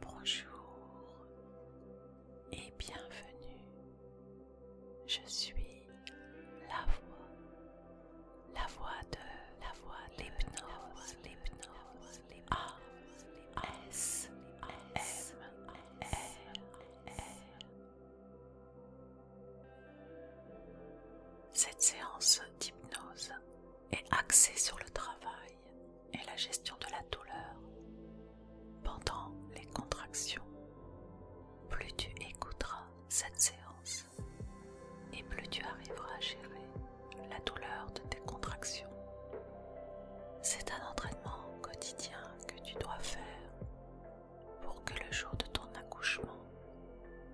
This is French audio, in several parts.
Bonjour et bienvenue. Je suis la voix, la voix de la voix l'hypnose, l'hypnose, les S, Cette séance d'hypnose est axée sur le travail et la gestion de la douleur. Pendant les contractions, plus tu écouteras cette séance et plus tu arriveras à gérer la douleur de tes contractions. C'est un entraînement quotidien que tu dois faire pour que le jour de ton accouchement,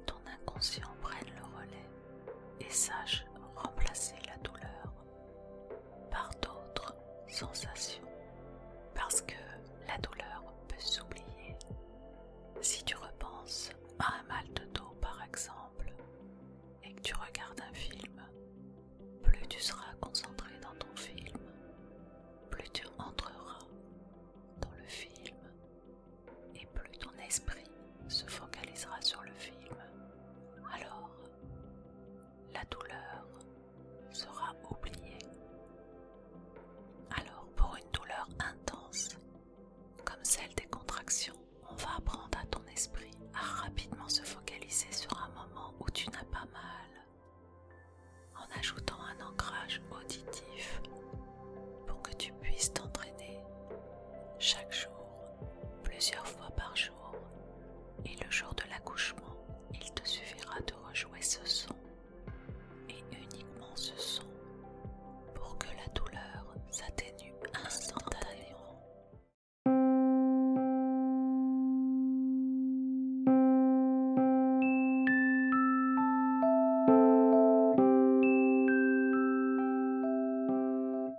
ton inconscient prenne le relais et sache remplacer la douleur par d'autres sensations. Parce que la douleur peut s'oublier. Si tu repenses à un mal de dos par exemple et que tu regardes un film, plus tu seras concentré dans ton film, plus tu entreras dans le film et plus ton esprit se focalisera sur le film, alors la douleur sera oubliée. Alors pour une douleur intense, comme celle des contractions, on va apprendre à ton esprit à rapidement se focaliser sur un moment où tu n'as pas mal, en ajoutant un ancrage auditif pour que tu puisses t'entraîner chaque jour plusieurs fois par jour, et le jour de l'accouchement, il te suffira de rejouer ce son, et uniquement ce son, pour que la douleur s'atténue instantanément.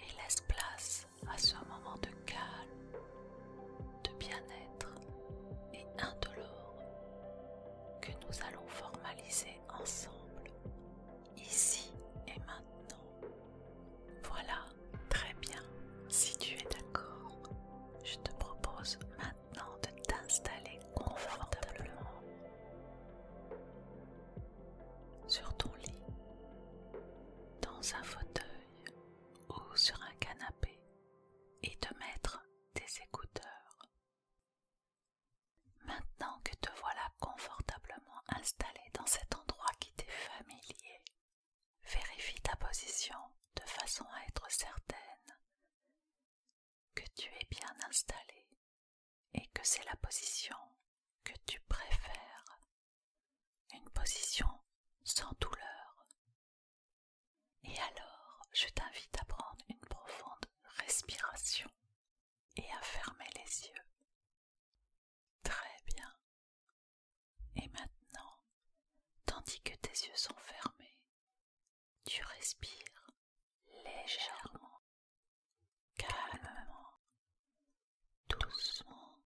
Et laisse place à ce moment de calme, de bien-être et indolore que nous allons formaliser ensemble, ici et maintenant. Voilà, très bien. Si tu es d'accord, je te propose maintenant de t'installer confortablement sur ton lit, dans un fauteuil ou sur un canapé et de mettre tes écouteurs. Maintenant que te voilà confortablement installé dans cet endroit qui t'est familier, vérifie ta position de façon à être certaine que tu es bien installé et que c'est la position que tu préfères, une position sans douleur, et alors, je t'invite à prendre une profonde respiration et à fermer les yeux. Très bien. Et maintenant, tandis que tes yeux sont fermés, tu respires légèrement, calmement, doucement.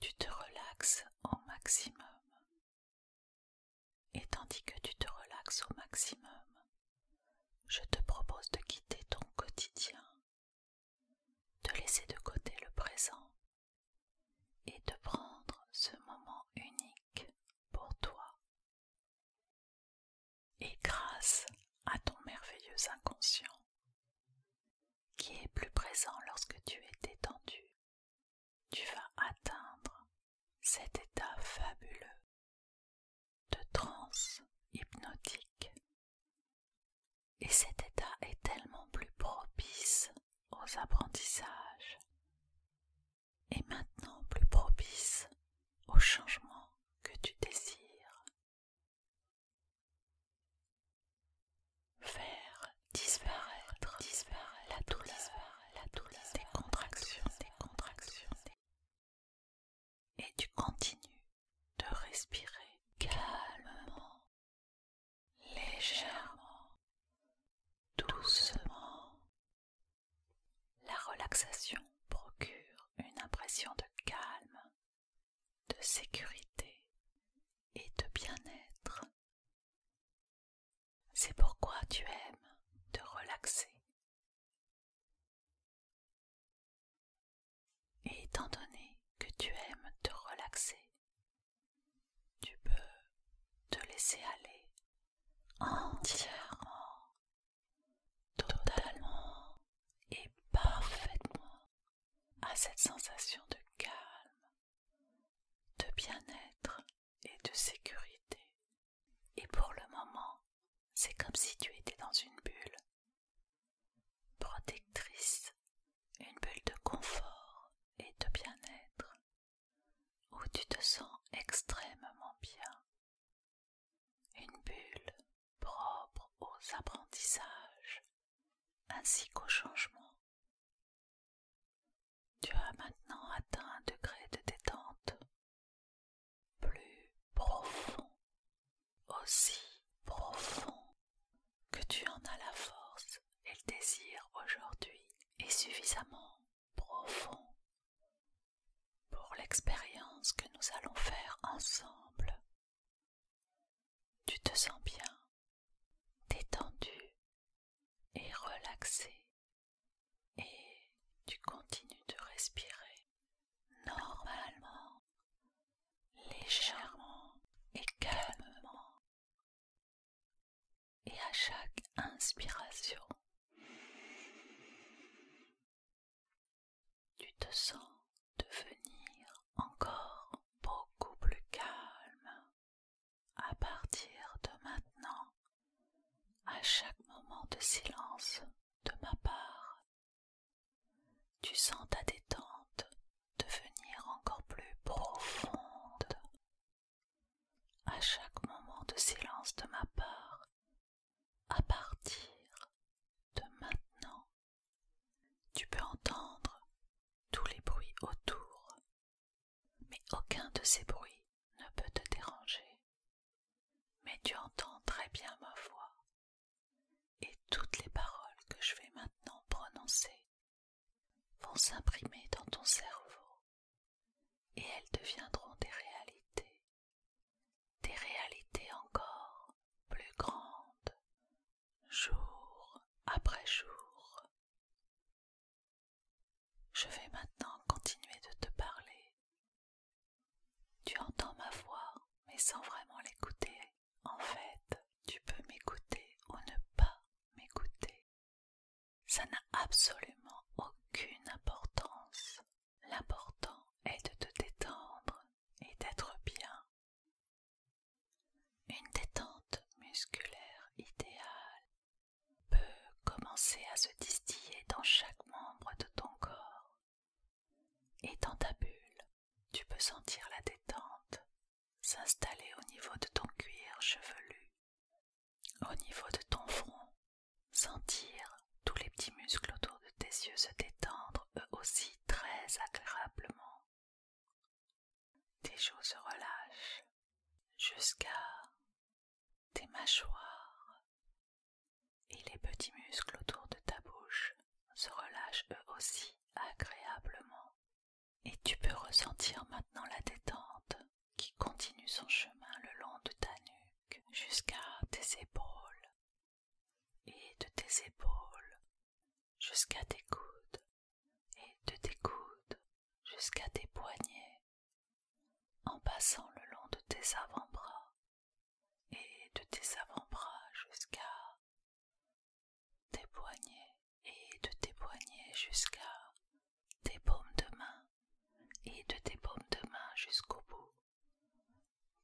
Tu te relaxes au maximum et tandis que tu te relaxes au maximum, je te propose de quitter ton quotidien, de laisser de côté le présent et de prendre ce moment unique pour toi. Et grâce à ton merveilleux inconscient, qui est plus présent lorsque tu es détendu tu vas atteindre cet état fabuleux de transe hypnotique. Et cet état est tellement plus propice aux apprentissages et maintenant plus propice aux changements que tu désires. Faire disparaître, disparaître la douleur la douce des contractions, des contractions. Et tu continues de respirer calmement, légèrement, doucement. La relaxation procure une impression de calme, de sécurité et de bien-être c'est pourquoi tu aimes te relaxer. Et étant donné que tu aimes te relaxer, tu peux te laisser aller entièrement, totalement et parfaitement à cette sensation de calme, de bien-être et de sécurité. Et pour le moment, c'est comme si tu étais dans une bulle protectrice, une bulle de confort et de bien-être, où tu te sens extrêmement bien. Une bulle propre aux apprentissages ainsi qu'aux changements tu as maintenant atteint un degré de détente plus profond, aussi profond que tu en as la force et le désir aujourd'hui est suffisamment profond pour l'expérience que nous allons faire ensemble. Tu te sens bien, détendu et relaxé et tu continues de respirer normalement, légèrement et calmement. Et à chaque inspiration, tu te sens devenir encore beaucoup plus calme à partir de maintenant, à chaque moment de silence de ma part, tu sens ta détente devenir encore plus profonde. À chaque moment de silence de ma part, à partir de maintenant, tu peux entendre tous les bruits autour mais aucun de ces bruits ne peut te déranger. Mais tu entends très bien ma voix, et toutes les paroles que je vais maintenant prononcer vont s'imprimer dans ton cerveau, et elles deviendront des réalités, des réalités encore plus grandes, jour après jour. Je vais maintenant continuer de te parler. Tu entends ma voix, mais sans vraiment l'écouter. En fait, tu peux m'écouter ou ne pas m'écouter. Ça n'a absolument aucune importance. L'important est de te détendre et d'être bien. Une détente musculaire idéale peut commencer à se distiller dans chaque membre de ton corps. Et dans ta bulle, tu peux sentir la détente s'installer au niveau de ton cuir chevelu, au niveau de ton front, sentir tous les petits muscles autour de tes yeux se détendre eux aussi très agréablement. Tes joues se relâchent jusqu'à tes mâchoires et les petits muscles autour de ta bouche se relâchent eux aussi agréablement. Et tu peux ressentir maintenant la détente qui continue son chemin le long de ta nuque jusqu'à tes épaules et de tes épaules jusqu'à tes coudes et de tes coudes jusqu'à tes poignets, en passant le long de tes avant-bras et de tes avant-bras jusqu'à tes poignets et de tes poignets jusqu'à tes paumes de main et de tes paumes de main jusqu'au bout,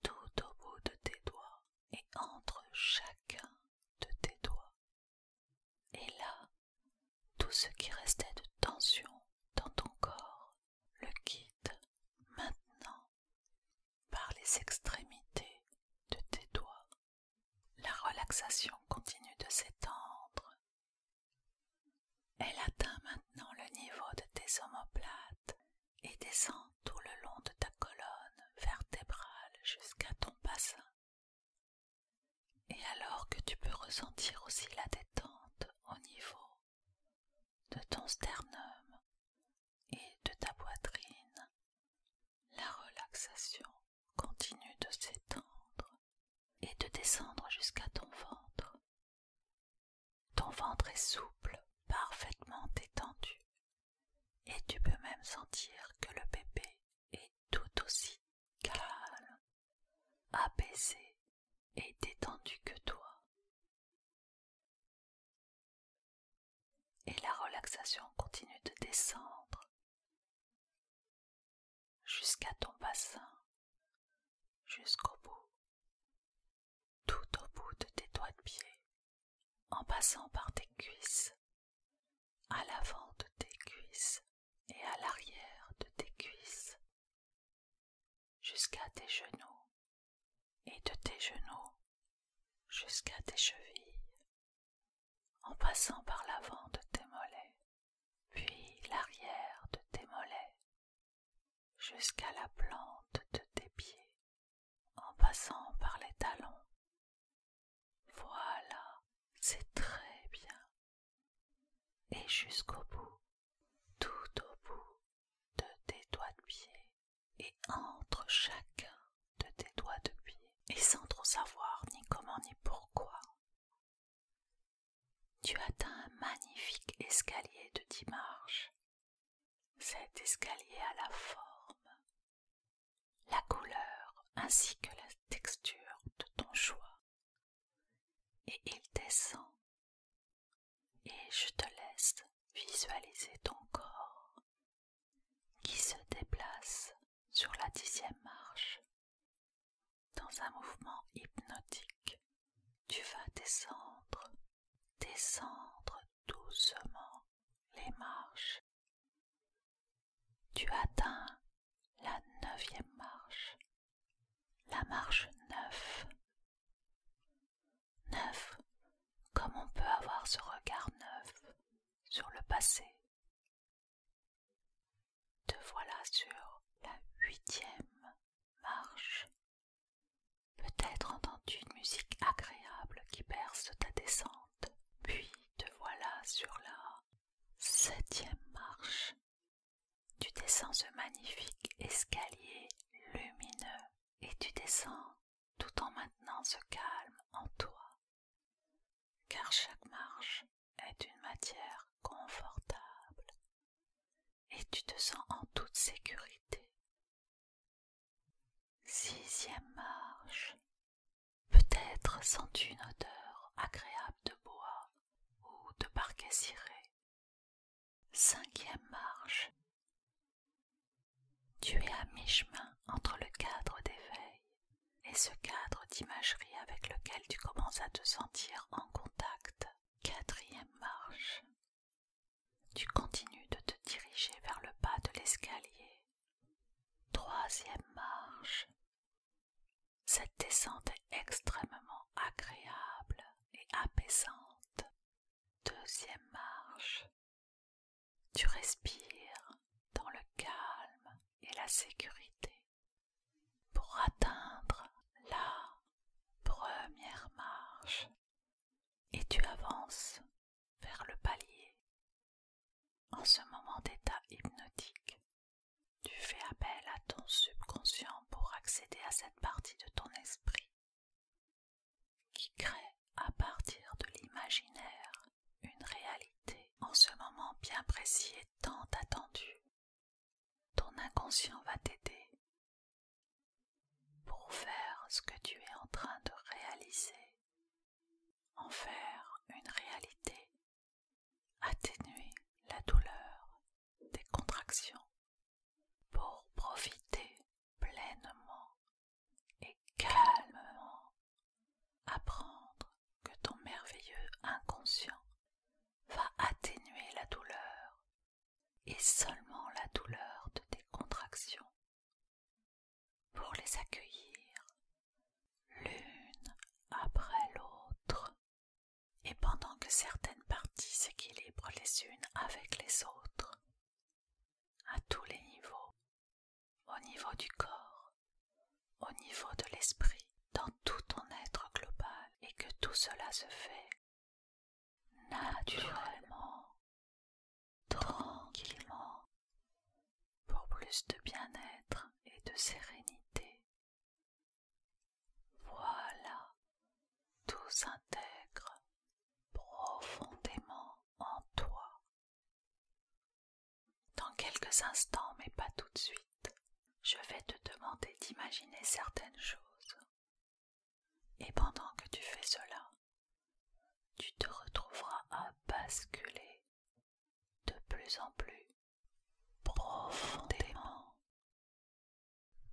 tout au bout de tes doigts et entre chacun de tes doigts et là, tout ce qui restait de tension dans ton corps le quitte maintenant par les extrémités de tes doigts. La relaxation continue de s'étendre. Elle atteint maintenant le niveau de tes omoplates et descend tout le long de ta colonne vertébrale jusqu'à ton bassin. Et alors que tu peux ressentir aussi la détente au niveau de ton sternum et de ta poitrine, la relaxation continue de s'étendre et de descendre jusqu'à ton ventre. Ton ventre est souple, parfaitement étendu, et tu peux même sentir que le bébé et tout aussi calme, apaisé et détendu que toi. Et la relaxation continue de descendre jusqu'à ton bassin, jusqu'au bout, tout au bout de tes doigts de pied, en passant par tes cuisses à l'avant de tes cuisses et à l'arrière de tes cuisses, jusqu'à tes genoux et de tes genoux jusqu'à tes chevilles, en passant par l'avant de tes mollets, puis l'arrière de tes mollets, jusqu'à la plante de tes pieds, en passant par les talons voilà, c'est très bien. Et jusqu'au bout, tout au bout de tes doigts de pied et entre chacun de tes doigts de pied, et sans trop savoir ni comment ni pourquoi, tu atteins un magnifique escalier de 10 marches. Cet escalier à la forme la couleur ainsi que la texture de ton choix. Et il descend. Et je te laisse visualiser ton corps qui se déplace sur la dixième marche. Dans un mouvement hypnotique, tu vas descendre, descendre doucement les marches. Tu atteins la neuvième marche, la marche neuf. Neuf, comme on peut avoir ce regard neuf sur le passé. Te voilà sur la huitième marche. Peut-être entends-tu une musique agréable qui berce ta descente, puis te voilà sur la Septième marche. Tu descends ce magnifique escalier lumineux et tu descends tout en maintenant ce calme en toi, car chaque marche est une matière confortable et tu te sens en toute sécurité. Sixième marche. Peut-être sens-tu une odeur agréable de bois ou de parquet ciré. Cinquième marche. Tu es à mi-chemin entre le cadre d'éveil et ce cadre d'imagerie avec lequel tu commences à te sentir en contact. Quatrième marche. Tu continues de te diriger vers le bas de l'escalier. Troisième marche. Cette descente est extrêmement agréable et apaisante. Deuxième marche. Tu respires dans le calme et la sécurité pour atteindre la première marche et tu avances vers le palier en ce moment d'état hypnotique, tu fais appel à ton subconscient pour accéder à cette partie de ton esprit qui crée à partir de l'imaginaire une réalité en ce moment bien précis et tant attendu. Ton inconscient va t'aider pour faire ce que tu es en train de réaliser en faire une réalité, atténuer la douleur des contractions pour profiter pleinement et calmement, apprendre que ton merveilleux inconscient va atténuer la douleur et seulement la douleur de tes contractions pour les accueillir l'une après l'autre et pendant que certaines parties s'équilibrent les unes avec les autres, à tous les niveaux, au niveau du corps, au niveau de l'esprit, dans tout ton être global, et que tout cela se fait naturellement, tranquillement, pour plus de bien-être et de sérénité. Voilà, tout s'intègre profondément en toi. Dans quelques instants, mais pas tout de suite, je vais te demander d'imaginer certaines choses. Et pendant que tu fais cela, tu te retrouveras à basculer de plus en plus profondément,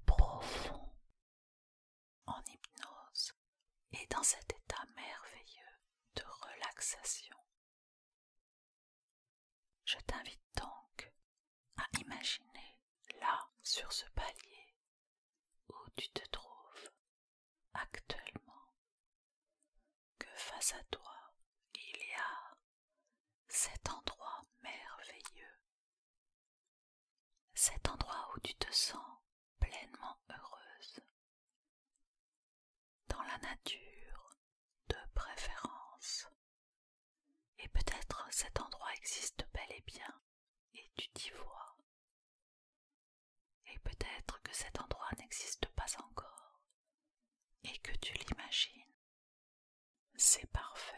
profond, en hypnose et dans cet état merveilleux de relaxation. Je t'invite donc à imaginer là, sur ce palier, où tu te trouves, actuellement que face à toi il y a cet endroit merveilleux, cet endroit où tu te sens pleinement heureuse, dans la nature de préférence. Et peut-être cet endroit existe bel et bien et tu t'y vois et peut-être que cet endroit n'existe pas encore et que tu l'imagines. C'est parfait.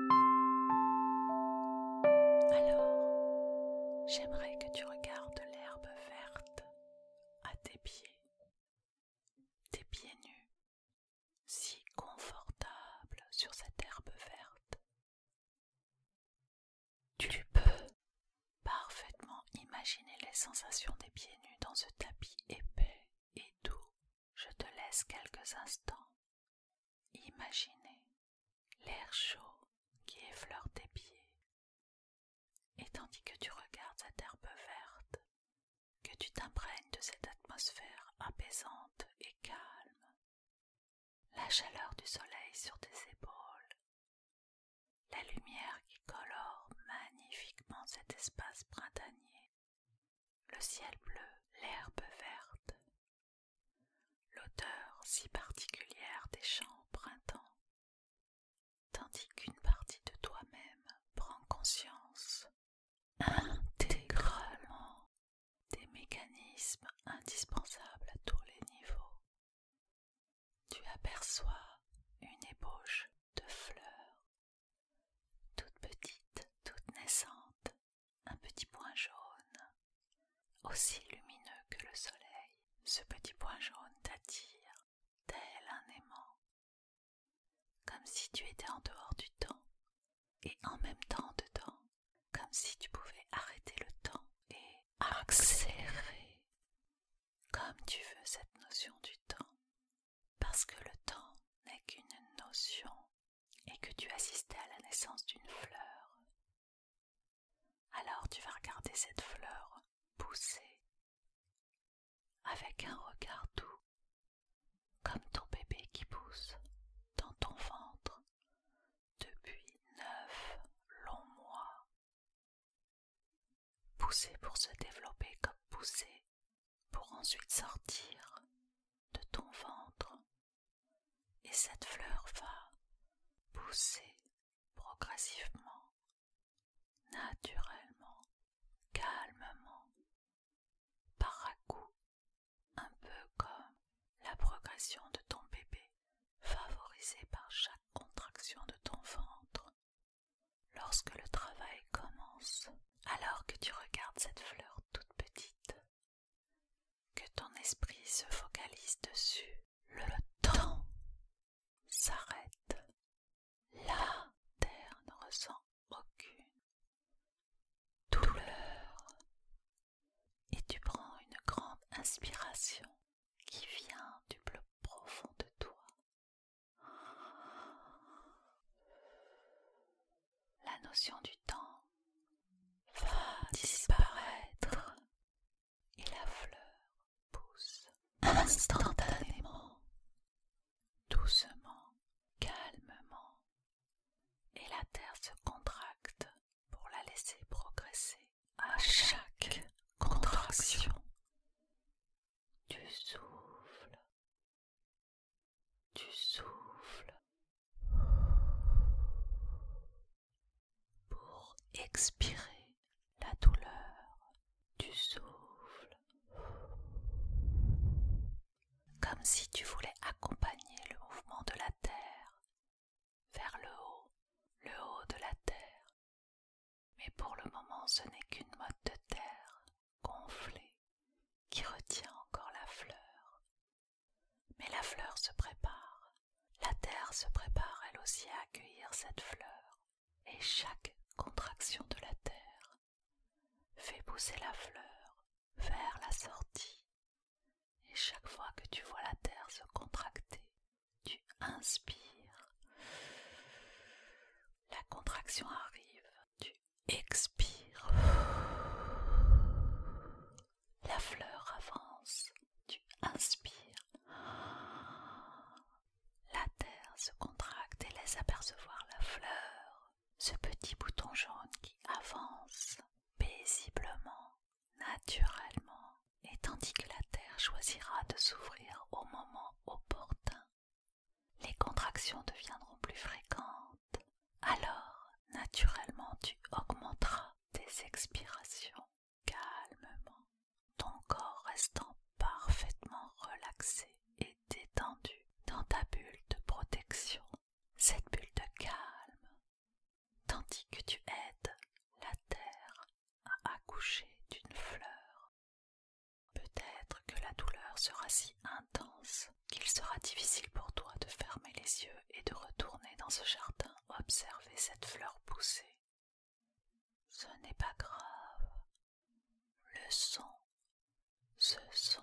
Alors, j'aimerais que tu regardes l'herbe verte à tes pieds, tes pieds nus, si confortables sur cette herbe verte. Tu peux parfaitement imaginer les sensations des pieds nus dans ce tapis épais et doux je te laisse quelques instants. imaginer l'air chaud qui effleure tes pieds. Et tandis que tu regardes cette herbe verte, que tu t'imprègnes de cette atmosphère apaisante et calme, la chaleur du soleil sur tes épaules, la lumière qui colore magnifiquement cet espace printanier, le ciel bleu, l'herbe verte, l'odeur si particulière des champs au printemps, tandis qu'une partie de toi-même prend conscience intégralement des mécanismes indispensables à tous les niveaux. Tu aperçois une ébauche de fleurs toute petite, toute naissante, un petit point jaune, aussi lumineux que le soleil. Ce petit point jaune t'attire, tel un aimant, comme si tu étais en dehors du temps et en même temps dedans, comme si tu pouvais arrêter le temps et accélérer comme tu veux cette notion du temps parce que le temps n'est qu'une notion et que tu assistais à la naissance d'une fleur. Alors tu vas regarder cette fleur pousser avec un regard doux, comme ton bébé qui pousse dans ton ventre depuis neuf longs mois. Pousser pour se développer comme pousser pour ensuite sortir de ton ventre. Et cette fleur va pousser progressivement, naturellement, calmement, par à coup, un peu comme la progression de ton bébé favorisée par chaque contraction de ton ventre lorsque le travail commence, alors que tu regardes cette fleur toute petite, que ton esprit se focalise dessus, le temps s'arrête. La terre ne ressent aucune douleur. Et tu prends une grande inspiration qui vient du plus profond de toi la notion du temps va disparaître et la fleur pousse instantanément, doucement, calmement, et la terre se contracte pour la laisser progresser à chaque contraction. du souffle. Tu souffles pour expirer la douleur. Tu souffles comme si tu voulais accompagner le mouvement de la Terre vers le haut, le haut de la Terre. Mais pour le moment, ce n'est qu'une mode de terre gonflée qui retient encore la fleur. Mais la fleur se prépare, la terre se prépare elle aussi à accueillir cette fleur, et chaque contraction de la terre fait pousser la fleur vers la sortie. Et chaque fois que tu vois la terre se contracter, tu inspires. La contraction arrive, tu expire. La fleur avance, tu inspires. La terre se contracte et laisse apercevoir la fleur, ce petit bouton jaune qui avance paisiblement, naturellement, et tandis que la terre choisira de s'ouvrir au moment opportun les contractions deviendront plus fréquentes, alors naturellement tu augmenteras tes expirations calmement, ton corps restant parfaitement relaxé et détendu dans ta bulle de protection, cette bulle de calme, tandis que tu aides la terre à accoucher d'une fleur Peut-être que la douleur sera si intense qu'il sera difficile pour toi de fermer les yeux et de retourner dans ce jardin observer cette fleur poussée Ce n'est pas grave. Le son, ce son.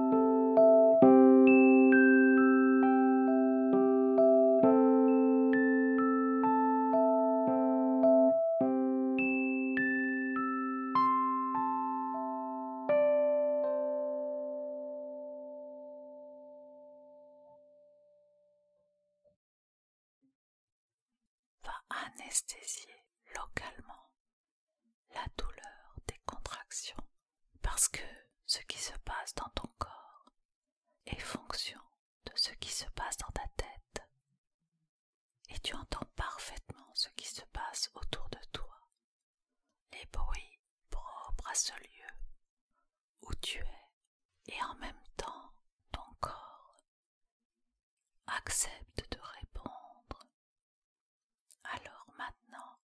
va anesthésier localement la douleur des contractions parce que ce qui se passe dans ton corps est fonction de ce qui se passe dans ta tête, et tu entends parfaitement ce qui se passe autour de toi, les bruits propres à ce lieu où tu es, et en même temps ton corps accepte de répondre alors maintenant,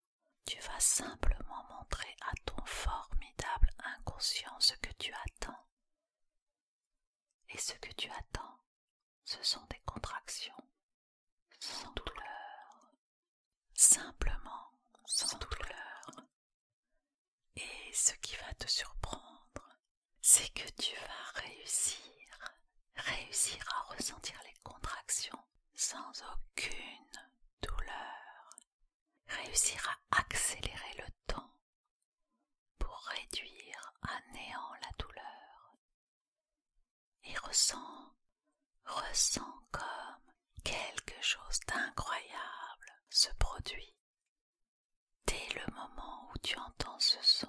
tu vas simplement montrer à ton formidable inconscient ce que tu attends. Et ce que tu attends, ce sont des contractions sans douleur, simplement sans, douleur. Et ce qui va te surprendre, c'est que tu vas réussir, réussir à ressentir les contractions sans aucune douleur, réussir à accélérer le temps pour réduire à néant la douleur. Et ressent, ressent comme quelque chose d'incroyable se produit dès le moment où tu entends ce son.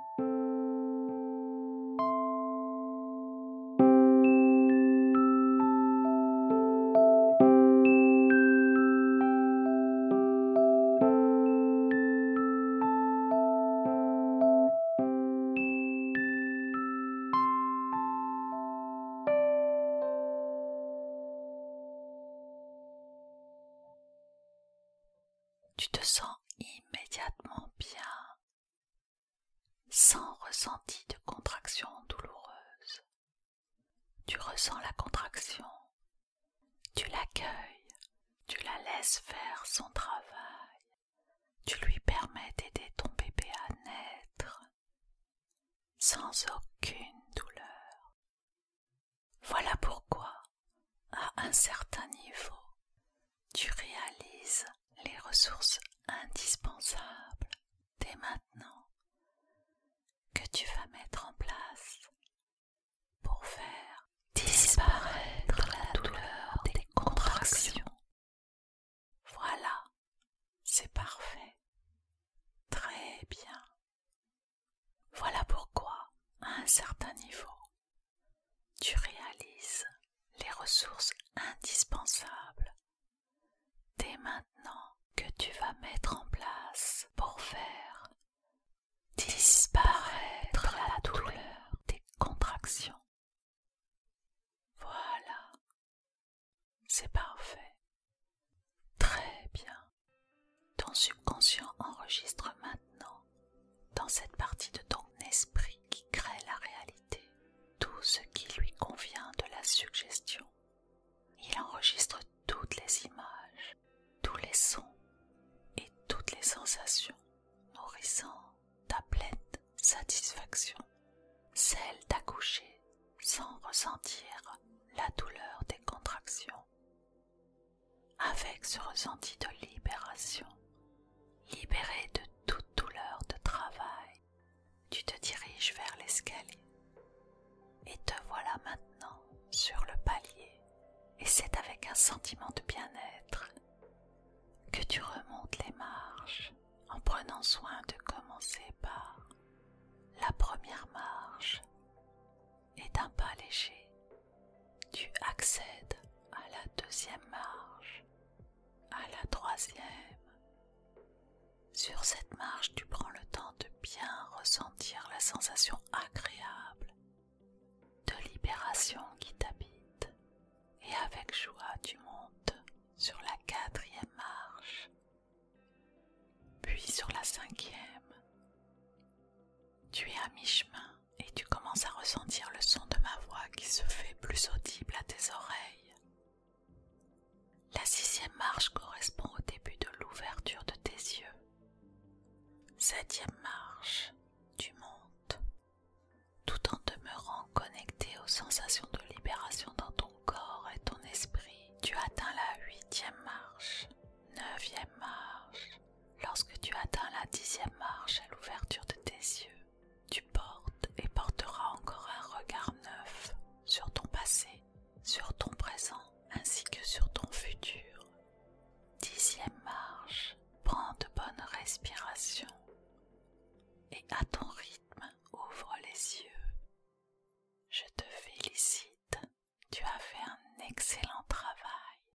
Tu te sens immédiatement bien sans ressenti de contraction douloureuse. Tu ressens la contraction, tu l'accueilles, tu la laisses faire son travail, tu lui permets d'aider ton bébé à naître sans aucune douleur. Voilà pourquoi à un certain niveau, tu réalises les ressources indispensables dès maintenant que tu vas mettre en place pour faire disparaître la douleur des contractions. Voilà, c'est parfait. Très bien. Voilà pourquoi, à un certain niveau, tu réalises les ressources indispensables dès maintenant que tu vas mettre en place pour faire disparaître la douleur des contractions. Voilà, c'est parfait. Très bien. Ton subconscient enregistre maintenant dans cette partie de ton esprit qui crée la réalité, tout ce qui lui convient de la suggestion. Il enregistre toutes les images, tous les sons et toutes les sensations, nourrissant ta pleine satisfaction, celle d'accoucher sans ressentir la douleur des contractions avec ce ressenti de libération, libéré de toute douleur de travail, tu te diriges vers l'escalier et te voilà maintenant sur le palier et c'est avec un sentiment de bien-être que tu remontes les marches en prenant soin de commencer par la première marche et d'un pas léger tu accèdes à la deuxième marche, à la troisième. Sur cette marche, tu prends le temps de bien ressentir la sensation agréable de libération qui t'habite et avec joie tu montes sur la quatrième marche, puis sur la cinquième. Tu es à mi-chemin et tu commences à ressentir le son de ma voix qui se fait plus audible à tes oreilles. La sixième marche correspond au début de l'ouverture de tes yeux. Septième marche, tu montes, tout en demeurant connecté aux sensations de libération dans ton corps et ton esprit. Tu atteins la huitième marche, neuvième marche, Lorsque tu atteins la dixième marche à l'ouverture de tes yeux, tu portes et porteras encore un regard neuf sur ton passé, sur ton présent ainsi que sur ton futur. Dixième marche, prends de bonnes respirations et à ton rythme ouvre les yeux. Je te félicite, tu as fait un excellent travail.